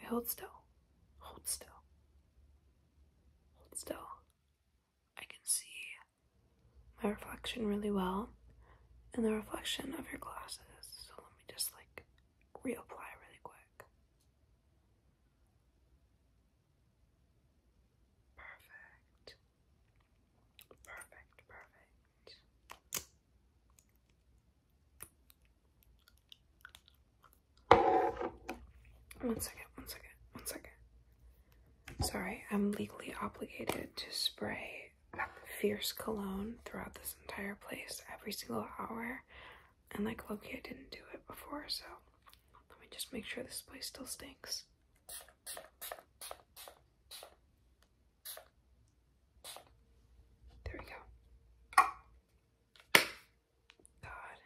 We hold still. Hold still. Hold still. I can see my reflection really well and the reflection of your glasses. So let me just like reapply really quick. Perfect. Perfect, perfect. One second, one second, one second. Sorry, I'm legally obligated to spray fierce cologne throughout this entire place every single hour. And like Loki, I didn't do it before, so let me just make sure this place still stinks. There we go. God.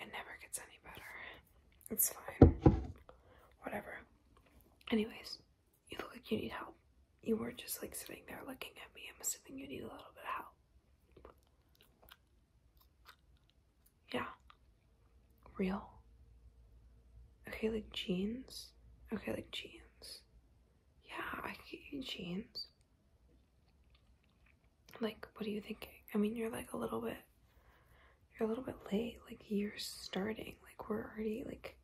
It never gets any better. It's fine. Whatever. Anyways, you look like you need help. You were just like sitting there looking at me. I'm assuming you need a little bit of help. Yeah real. Okay, like jeans. Okay, like jeans. Yeah, I can get you jeans. Like, what are you thinking? I mean, you're like a little bit, you're a little bit late. Like, you're starting. Like, we're already, like,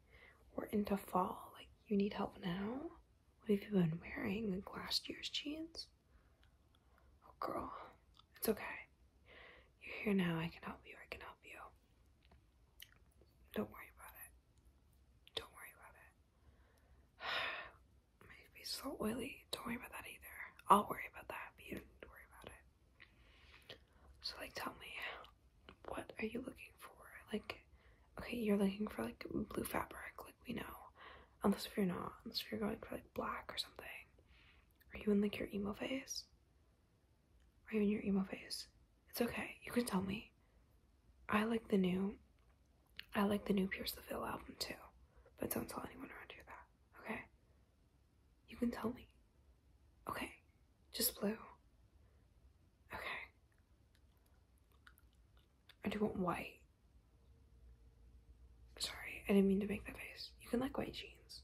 we're into fall. Like, you need help now? What have you been wearing? Like, last year's jeans? Oh, girl, it's okay. You're here now. I can help you. I can help you. Don't worry about it. Don't worry about it. My face is all oily. Don't worry about that either. I'll worry about that, but you don't need to worry about it. So, like, tell me, what are you looking for? Like, okay, you're looking for like blue fabric, like we know. Unless if you're not, unless if you're going for like black or something. Are you in like your emo phase? Are you in your emo phase. It's okay. You can tell me. I like the new I like the new Pierce the Veil album too. But don't tell anyone around you that. Okay? You can tell me. Okay. Just blue. Okay. I do want white. Sorry, I didn't mean to make that face. You can like white jeans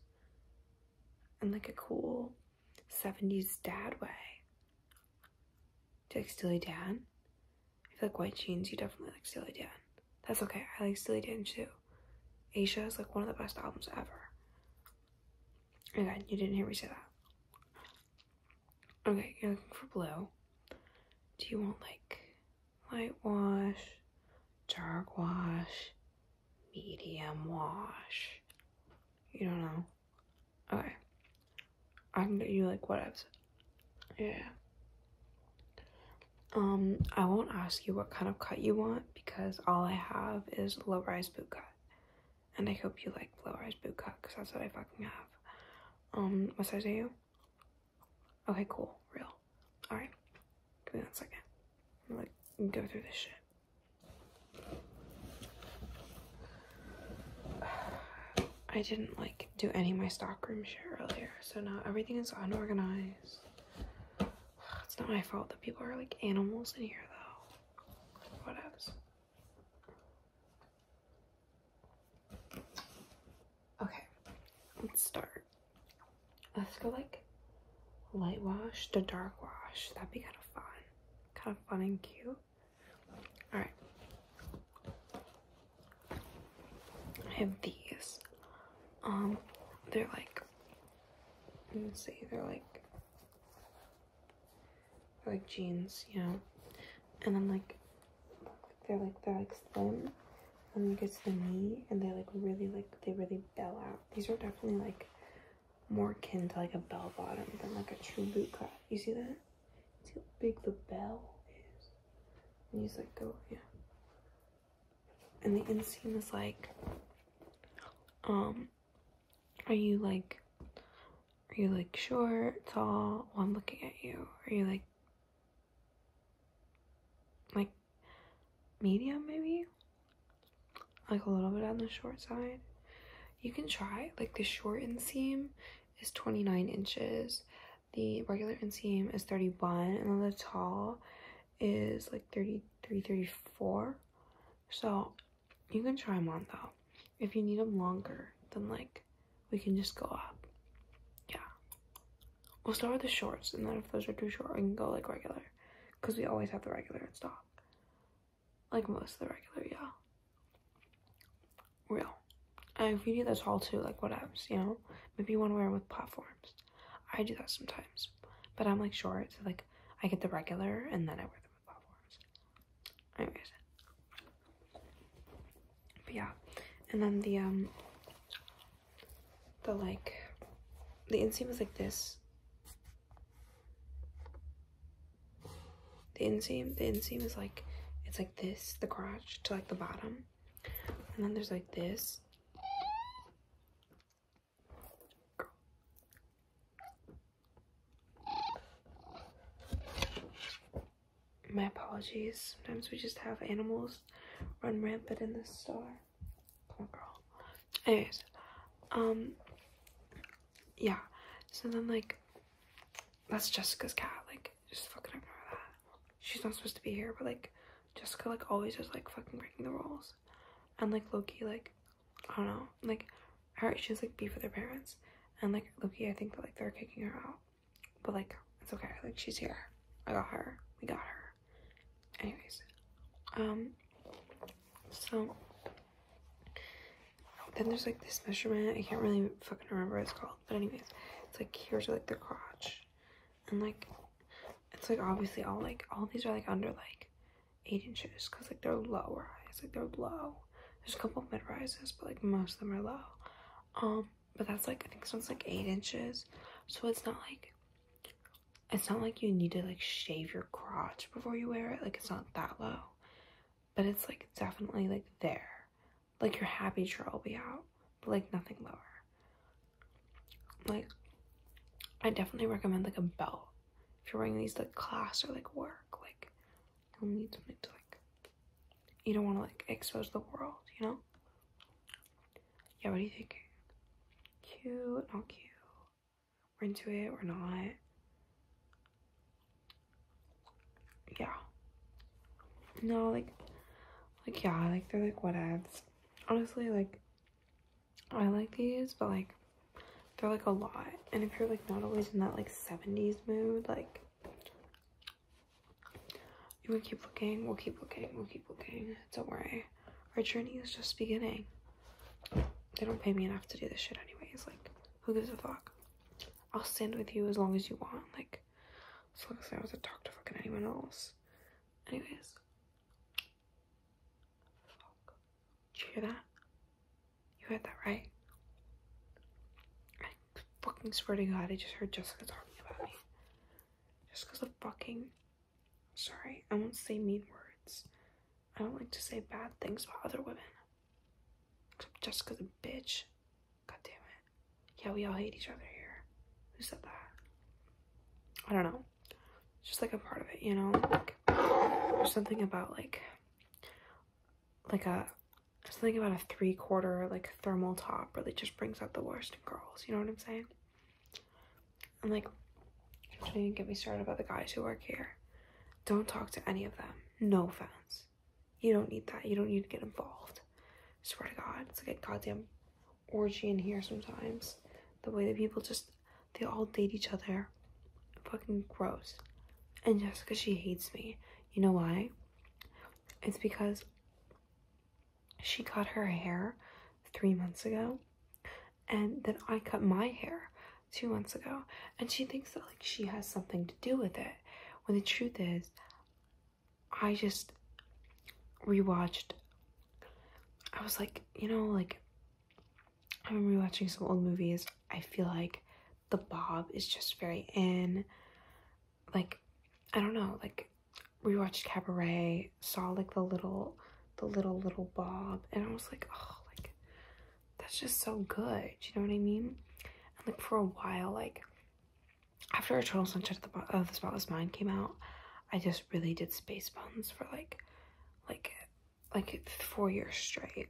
in like a cool 70s dad way. Do you like Steely Dan? I feel like White Jeans, you definitely like Steely Dan. That's okay, I like Steely Dan too. Asia is like one of the best albums ever. Okay, you didn't hear me say that. Okay, you're looking for blue. Do you want like light wash, dark wash, medium wash. You don't know. Okay. I can get you like whatevs. Yeah. Um, I won't ask you what kind of cut you want because all I have is low rise boot cut. And I hope you like low rise boot cut because that's what I fucking have. Um, what size are you? Okay, cool. Real. Alright. Give me one second. I'm go through this shit. I didn't like do any of my stockroom share earlier, so now everything is unorganized. It's not my fault that people are like animals in here though. Whatevs. Okay, let's start. Let's go like light wash to dark wash. That'd be kind of fun. Kind of fun and cute. Alright. I have these. Um, they're like, let me see, they're like, like jeans, you know? And I'm like, they're like, they're like slim. And then you get to the knee and they like really like, they really bell out. These are definitely like more akin to like a bell bottom than like a true boot cut. You see that? See how big the bell is? And he's like go, yeah. And the inseam is like, um, are you like, are you like short, tall? Well, I'm looking at you. Are you like, like medium maybe? like a little bit on the short side. You can try, like the short inseam is 29 inches, the regular inseam is 31, and then the tall is like 33, 34. So you can try them on though. If you need them longer, then like we can just go up. Yeah. We'll start with the shorts, and then if those are too short, we can go like regular because we always have the regular in stock like most of the regular yeah, Real. And if you do that tall too, like what else, you know? Maybe you want to wear them with platforms. I do that sometimes. But I'm like short, so like I get the regular and then I wear them with platforms. Anyways. But yeah. And then the um the like the inseam was like this the inseam, the inseam is like, it's like this, the crotch to like the bottom. And then there's like this. My apologies. Sometimes we just have animals run rampant in the store. Come on, girl. Anyways, um, yeah. So then like that's Jessica's cat, like just fucking ignore that. She's not supposed to be here, but like Jessica like always is like fucking breaking the rules. And like Loki like I don't know, like alright, she's like be for their parents and like Loki I think that like they're kicking her out. But like it's okay, like she's here. I got her. We got her. Anyways. Um so then there's like this measurement. I can't really fucking remember what it's called. But anyways, it's like here's like the crotch. And like it's like obviously all like all these are like under like eight inches because like they're low rise, like they're low. There's a couple mid rises, but like most of them are low. Um, but that's like I think this one's like eight inches. So it's not like it's not like you need to like shave your crotch before you wear it like it's not that low but it's like definitely like there like your happy trail will be out but like nothing lower like i definitely recommend like a belt if you're wearing these like, class or like work like you'll need something to like you don't want to like expose the world you know yeah what do you think cute not cute we're into it, we're not. Yeah. No, like, like, yeah, like, they're like, what ads. Honestly, like, I like these, but like, they're like a lot. And if you're like not always in that like 70s mood, like, you will keep looking, we'll keep looking, we'll keep looking. Don't worry. Our journey is just beginning. They don't pay me enough to do this shit anyways. Like, who gives a fuck? I'll stand with you as long as you want. Like, as long as I was to talk to fucking anyone else. Anyways. Fuck. you hear that? You heard that, right? fucking swear to God, I just heard Jessica talking about me. Just because fucking. Sorry, I won't say mean words. I don't like to say bad things about other women. Except Jessica's a bitch. God damn it. Yeah, we all hate each other here. Who said that? I don't know. It's just like a part of it, you know? Like, there's something about like, like a, something about a three quarter like thermal top really just brings out the worst in girls. You know what I'm saying? And like, don't even get me started about the guys who work here. Don't talk to any of them. No fans. You don't need that. You don't need to get involved. I swear to God, it's like a goddamn orgy in here sometimes. The way that people just, they all date each other. Fucking gross. And Jessica, she hates me. You know why? It's because she cut her hair three months ago and then I cut my hair two months ago and she thinks that like she has something to do with it when the truth is i just rewatched i was like you know like i'm rewatching some old movies i feel like the bob is just very in like i don't know like watched cabaret saw like the little the little little bob and i was like oh like that's just so good. You know what I mean? And like for a while, like after Eternal Sunshine of the, of the Spotless Mind came out, I just really did space buns for like, like, like four years straight.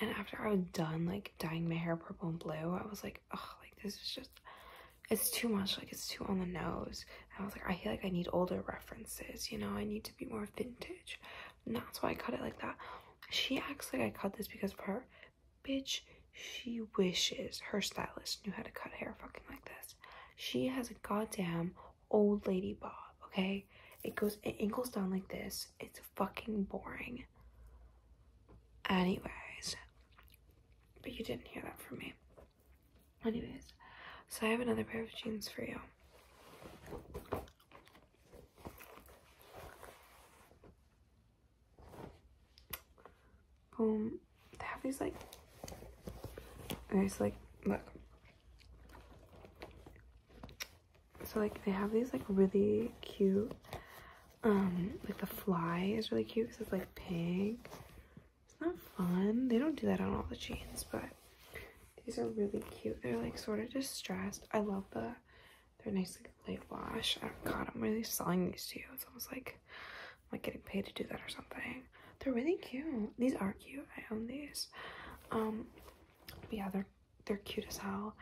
And after I was done like dyeing my hair purple and blue, I was like, oh, like this is just, it's too much. Like it's too on the nose. I was like, I feel like I need older references. You know, I need to be more vintage that's why I cut it like that. She acts like I cut this because of her. Bitch, she wishes her stylist knew how to cut hair fucking like this. She has a goddamn old lady bob, okay? It goes, it angles down like this. It's fucking boring. Anyways, but you didn't hear that from me. Anyways, so I have another pair of jeans for you. Boom. Um, they have these like, okay, so like, look. So like, they have these like really cute, um, like the fly is really cute because it's like pink. It's not fun. They don't do that on all the jeans, but these are really cute. They're like sort of distressed. I love the, they're nice like light wash. Oh god, I'm really selling these to you. It's almost like like getting paid to do that or something. They're really cute. These are cute. I own these. Um, yeah, they're they're cute as hell.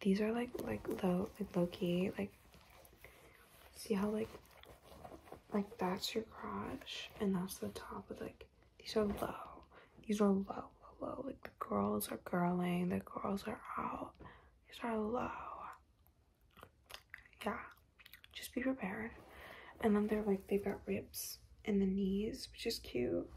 These are like like low like low key like. See how like like that's your crotch and that's the top of like these are low. These are low, low, low. Like the girls are girling. The girls are out. These are low. Yeah. Just be prepared. And then they're like, they've got ribs in the knees, which is cute.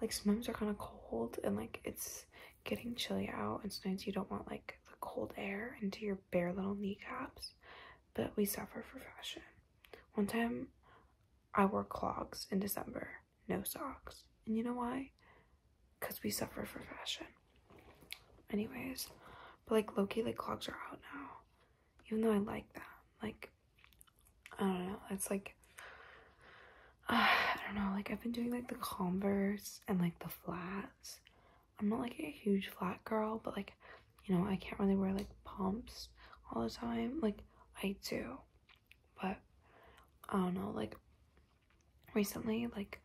Like sometimes they're kind of cold and like it's getting chilly out. And sometimes you don't want like the cold air into your bare little kneecaps. But we suffer for fashion. One time I wore clogs in December no socks. And you know why? Because we suffer for fashion. Anyways, but like Loki, like clogs are out now. Even though I like that. Like, I don't know. It's like, I don't know. Like, I've been doing like the Converse and like the flats. I'm not like a huge flat girl, but like, you know, I can't really wear like pumps all the time. Like, I do. But I don't know, like recently, like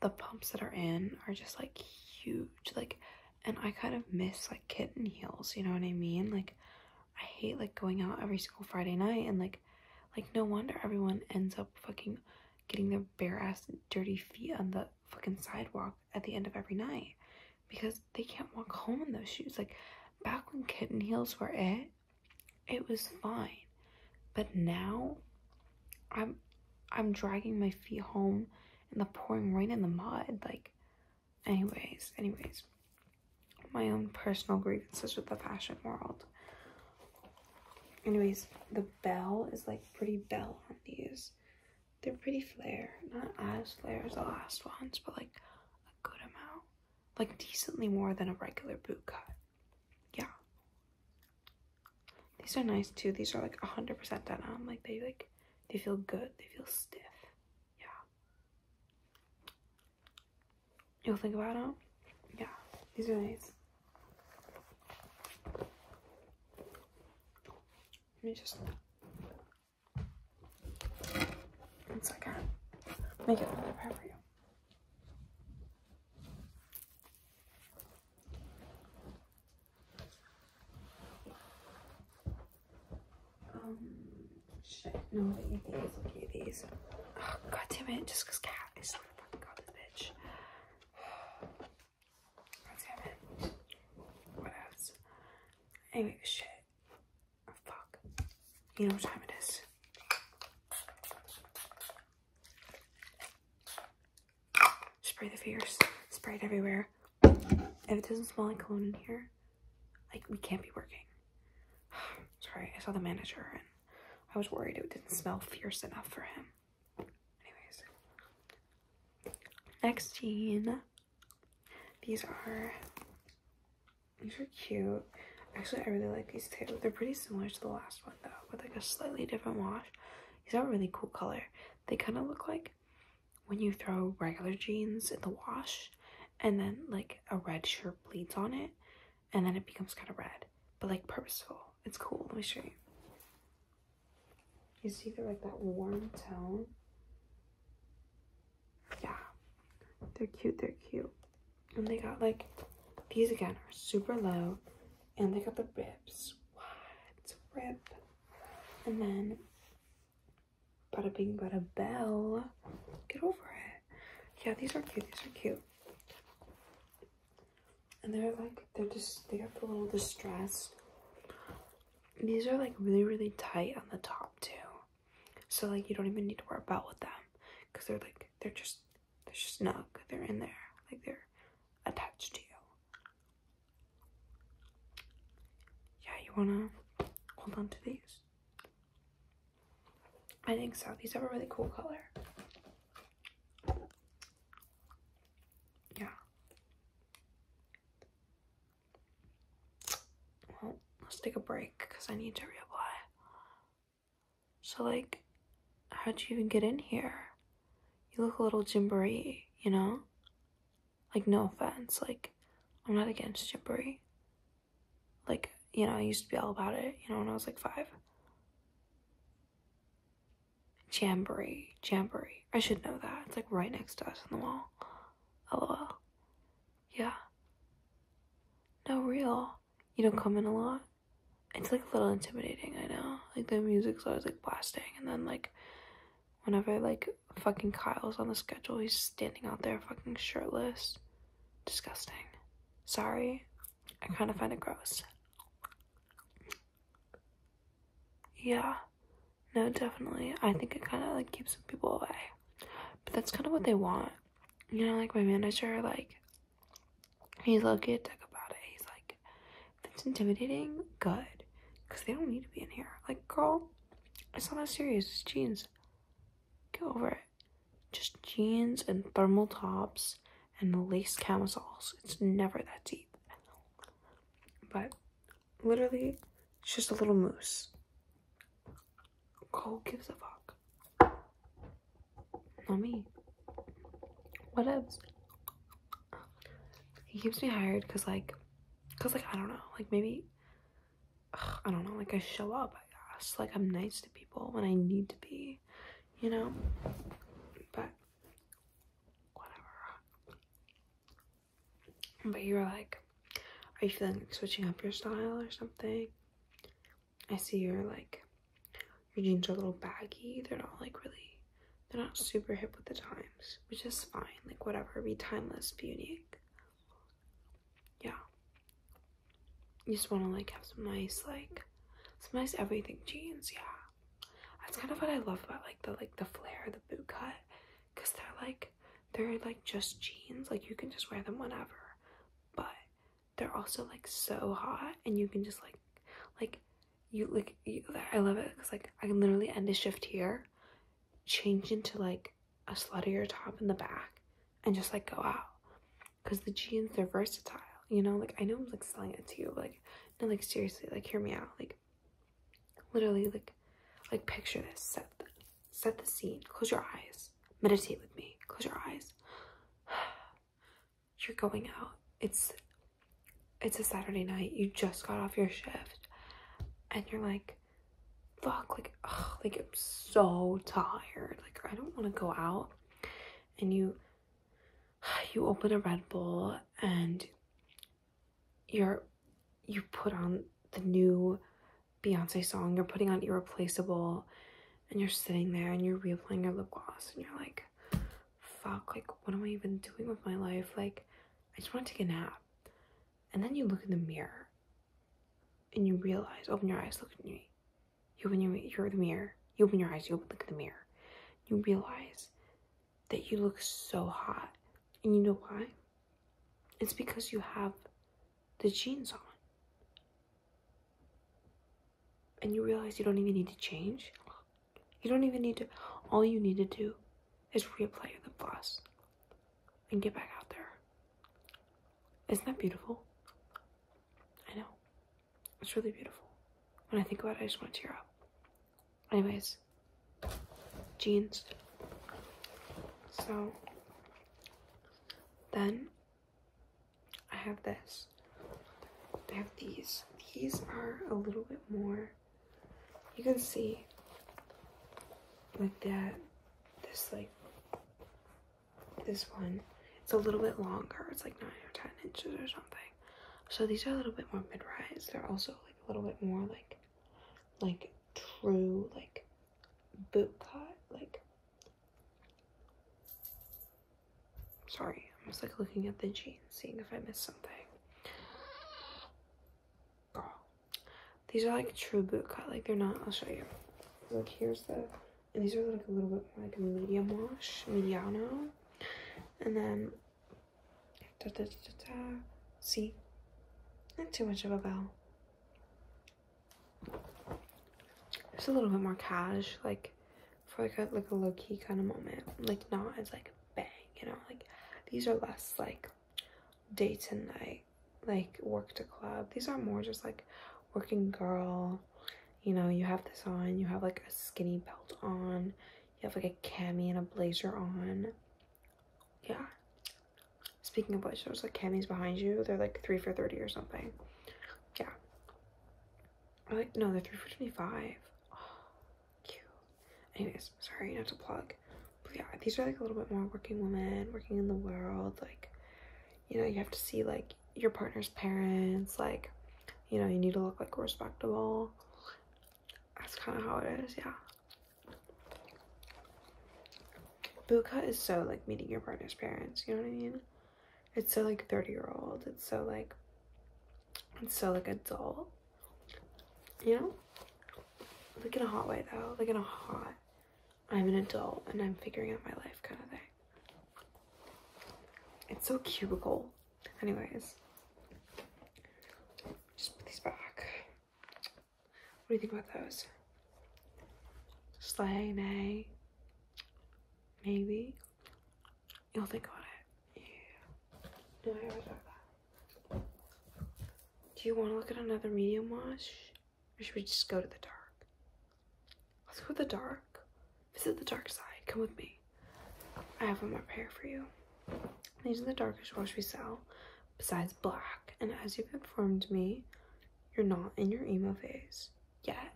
the pumps that are in are just like huge. Like, and I kind of miss like kitten heels, you know what I mean? Like, I hate like going out every single Friday night and like, like no wonder everyone ends up fucking getting their bare ass dirty feet on the fucking sidewalk at the end of every night because they can't walk home in those shoes. Like back when kitten heels were it, it was fine. But now I'm I'm dragging my feet home in the pouring rain in the mud. Like anyways, anyways. My own personal grievances with the fashion world. Anyways, the bell is like pretty bell on these. They're pretty flare. Not as flare as the last ones, but like a good amount like decently more than a regular boot cut. Yeah. These are nice too. These are like 100% denim. Like they like they feel good. They feel stiff. Yeah. You'll think about them. Yeah. These are nice. Let me just it's okay. Make it really bad for you. Um, shit. No, eat these. Look oh, at these. God damn it. Just because cat is so fucking got bitch. God damn it. What else? Anyway, shit. Oh, fuck. You know what time it is. Spray the fierce. Spray it everywhere. If it doesn't smell like cologne in here, like, we can't be working. Sorry, I saw the manager and I was worried it didn't smell fierce enough for him. Anyways. Next scene. These are these are cute. Actually, I really like these too. They're pretty similar to the last one though, with like a slightly different wash. These are a really cool color. They kind of look like when you throw regular jeans in the wash and then like a red shirt bleeds on it and then it becomes kind of red, but like purposeful. It's cool. Let me show you. You see they're like that warm tone yeah, they're cute, they're cute. And they got like, these again are super low and they got the ribs. What? Rib. And then, bada bing, bada bell. Get over it. Yeah, these are cute, these are cute. And they're like, they're just, they got the little distressed. These are like really, really tight on the top too so like you don't even need to worry about with them because they're like they're just they're snug they're in there like they're attached to you yeah you want to hold on to these i think so these have a really cool color yeah well, let's take a break because I need to reapply. So, like, how'd you even get in here? You look a little gimbery, you know? Like, no offense. Like, I'm not against gimbery. Like, you know, I used to be all about it, you know, when I was like five. Jamboree, jamboree. I should know that. It's like right next to us on the wall. LOL. Yeah. No, real. You don't come in a lot. It's like a little intimidating, I know. Like the music's always like blasting, and then like whenever like fucking Kyle's on the schedule, he's standing out there fucking shirtless. Disgusting. Sorry. I kind of find it gross. Yeah. No, definitely. I think it kind of like keeps people away. But that's kind of what they want you know, like my manager, like he's low-key a about it. He's like, if it's intimidating, good. Cause they don't need to be in here. Like, girl, it's not that serious, it's jeans. Get over it. Just jeans and thermal tops and lace camisoles. It's never that deep. But literally, it's just a little moose. Cole gives a fuck. Not me. What else? He keeps me hired because like, because like, I don't know, like maybe, I don't know, like I show up, I guess. Like I'm nice to people when I need to be, you know? But whatever. But you are like, are you feeling switching up your style or something? I see your like your jeans are a little baggy. They're not like really they're not super hip with the times, which is fine. Like whatever, be timeless, be unique. Yeah. You just wanna like have some nice like some nice everything jeans, yeah. That's kind of what I love about like the like the flare, the boot cut. Cause they're like they're like just jeans. Like you can just wear them whenever but they're also like so hot and you can just like like you like you, i love it because like i can literally end a shift here change into like a sluttier top in the back and just like go out because the jeans they're versatile you know like i know i'm like selling it to you but, like no like seriously like hear me out like literally like like picture this set set the scene. Close your eyes. Meditate with me. Close your eyes. You're going out. It's it's a Saturday night. You just got off your shift and you're like, fuck, like, ugh, like I'm so tired. Like I don't want to go out. And you you open a Red Bull and you're you put on the new Beyonce song, you're putting on Irreplaceable, and you're sitting there and you're reapplying your lip gloss, and you're like, fuck, like, what am I even doing with my life? Like, I just want to take a nap. And then you look in the mirror and you realize, open your eyes, look at me. You open your, you're the mirror. You open your eyes, you open, look at the mirror. You realize that you look so hot. And you know why? It's because you have the jeans on. And you realize you don't even need to change. You don't even need to, all you need to do is reapply the plus and get back out there. Isn't that beautiful? I know. It's really beautiful. When I think about it, I just want to tear up. Anyways, jeans. So then I have this. I have these. These are a little bit more. You can see like that. This like this one. It's a little bit longer. It's like nine or ten inches or something. So these are a little bit more mid-rise. They're also like a little bit more like like true like boot cut like Sorry, I'm just like looking at the jeans, seeing if I missed something. These are like true boot cut, like they're not, I'll show you. Like here's the, and these are like a little bit like medium wash, mediano. And then, da da da da, see? Not too much of a bow just a little bit more cash, like for like a like a low key kind of moment. Like not as like bang, you know. Like these are less like day to night, like work to club. These are more just like working girl. You know, you have this on, you have like a skinny belt on, you have like a cami and a blazer on. Yeah. Speaking of blazers, like camis behind you. They're like three for thirty or something yeah. Like, no, they're three for 25. cute. Anyways, sorry not to plug. But yeah, these are like a little bit more working women, working in the world. Like, you know, you have to see like your partner's parents. Like, you know, you need to look like respectable. That's kind of how it is, yeah. Boot is so like meeting your partner's parents, you know what I mean? It's so like 30 year old. It's so like, it's so like adult. You know? Like in a hot way though. Like in a hot, I'm an adult and I'm figuring out my life kind of thing. It's so cubicle. Anyways, just put these back. What do you think about those? Slay, nay. Maybe you'll think about it. Yeah. Do you want to look at another medium wash? Or should we just go to the dark? Let's go to the dark. Visit the dark side. Come with me. I have one more pair for you. These are the darkest wash we sell, besides black. And as you've informed me, you're not in your emo phase yet.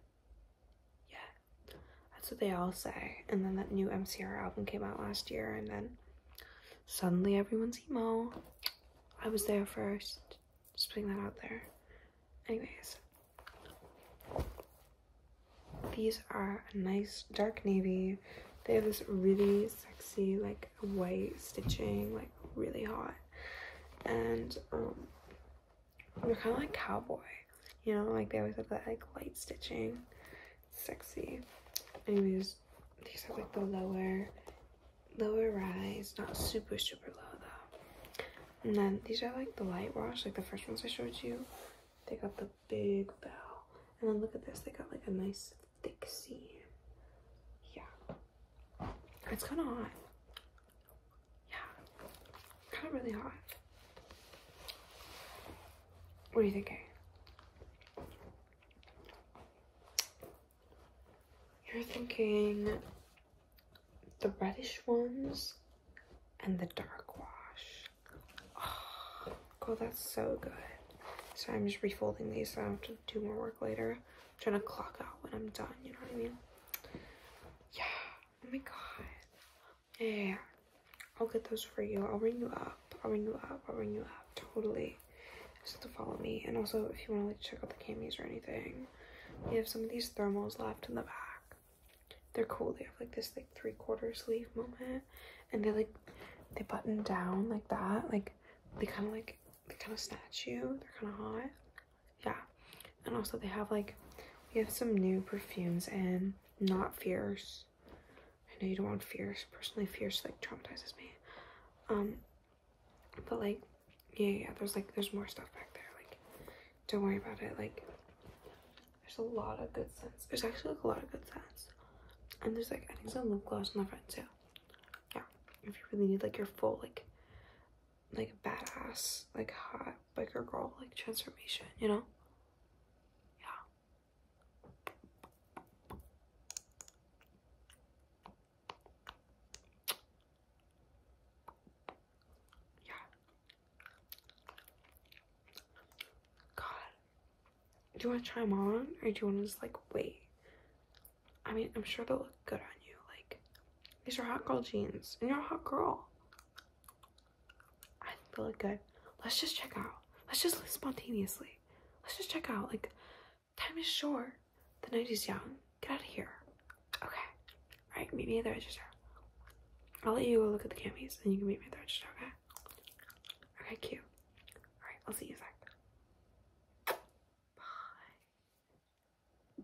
Yeah, that's what they all say. And then that new MCR album came out last year, and then suddenly everyone's emo. I was there first. Just putting that out there. Anyways, these are nice dark navy. They have this really sexy, like white stitching, like really hot. And um, they're kind of like cowboy. You know, like they always have that like light stitching. sexy. Anyways, these are like the lower, lower rise. Not super, super low though. And then these are like the light wash, like the first ones I showed you. They got the big bell. And then look at this, they got like a nice thick seam. Yeah. It's kind of hot. Yeah, kind of really hot. What are you thinking? You're thinking the reddish ones and the dark wash. Oh, that's so good. So I'm just refolding these so I have to do more work later. trying to clock out when I'm done, you know what I mean? Yeah. Oh my god. Yeah, I'll get those for you. I'll ring you up. I'll ring you up. I'll ring you up. Totally. Just to follow me. And also, if you want to like check out the camis or anything, we have some of these thermals left in the back. They're cool. They have like this like three quarter sleeve moment, and they like they button down like that. Like they kind of like they kind of snatch you. They're kind of hot yeah and also they have like we have some new perfumes and not fierce i know you don't want fierce personally fierce like traumatizes me um but like yeah yeah there's like there's more stuff back there like don't worry about it like there's a lot of good scents there's actually like, a lot of good scents and there's like i think some lip gloss on the front too yeah if you really need like your full like like badass, like hot biker girl like transformation, you know? Yeah. Yeah. God. Do you want to try them on or do you want to just like wait? I mean, I'm sure they'll look good on you. Like, these are hot girl jeans, and you're a hot girl. I feel really good. Let's just check out. Let's just live spontaneously. Let's just check out. Like, time is short. The night is young. Get out of here. Okay. All right, meet me at the register. I'll let you go look at the camis, then you can meet me at the register, okay? Okay, cute. All right, I'll see you in a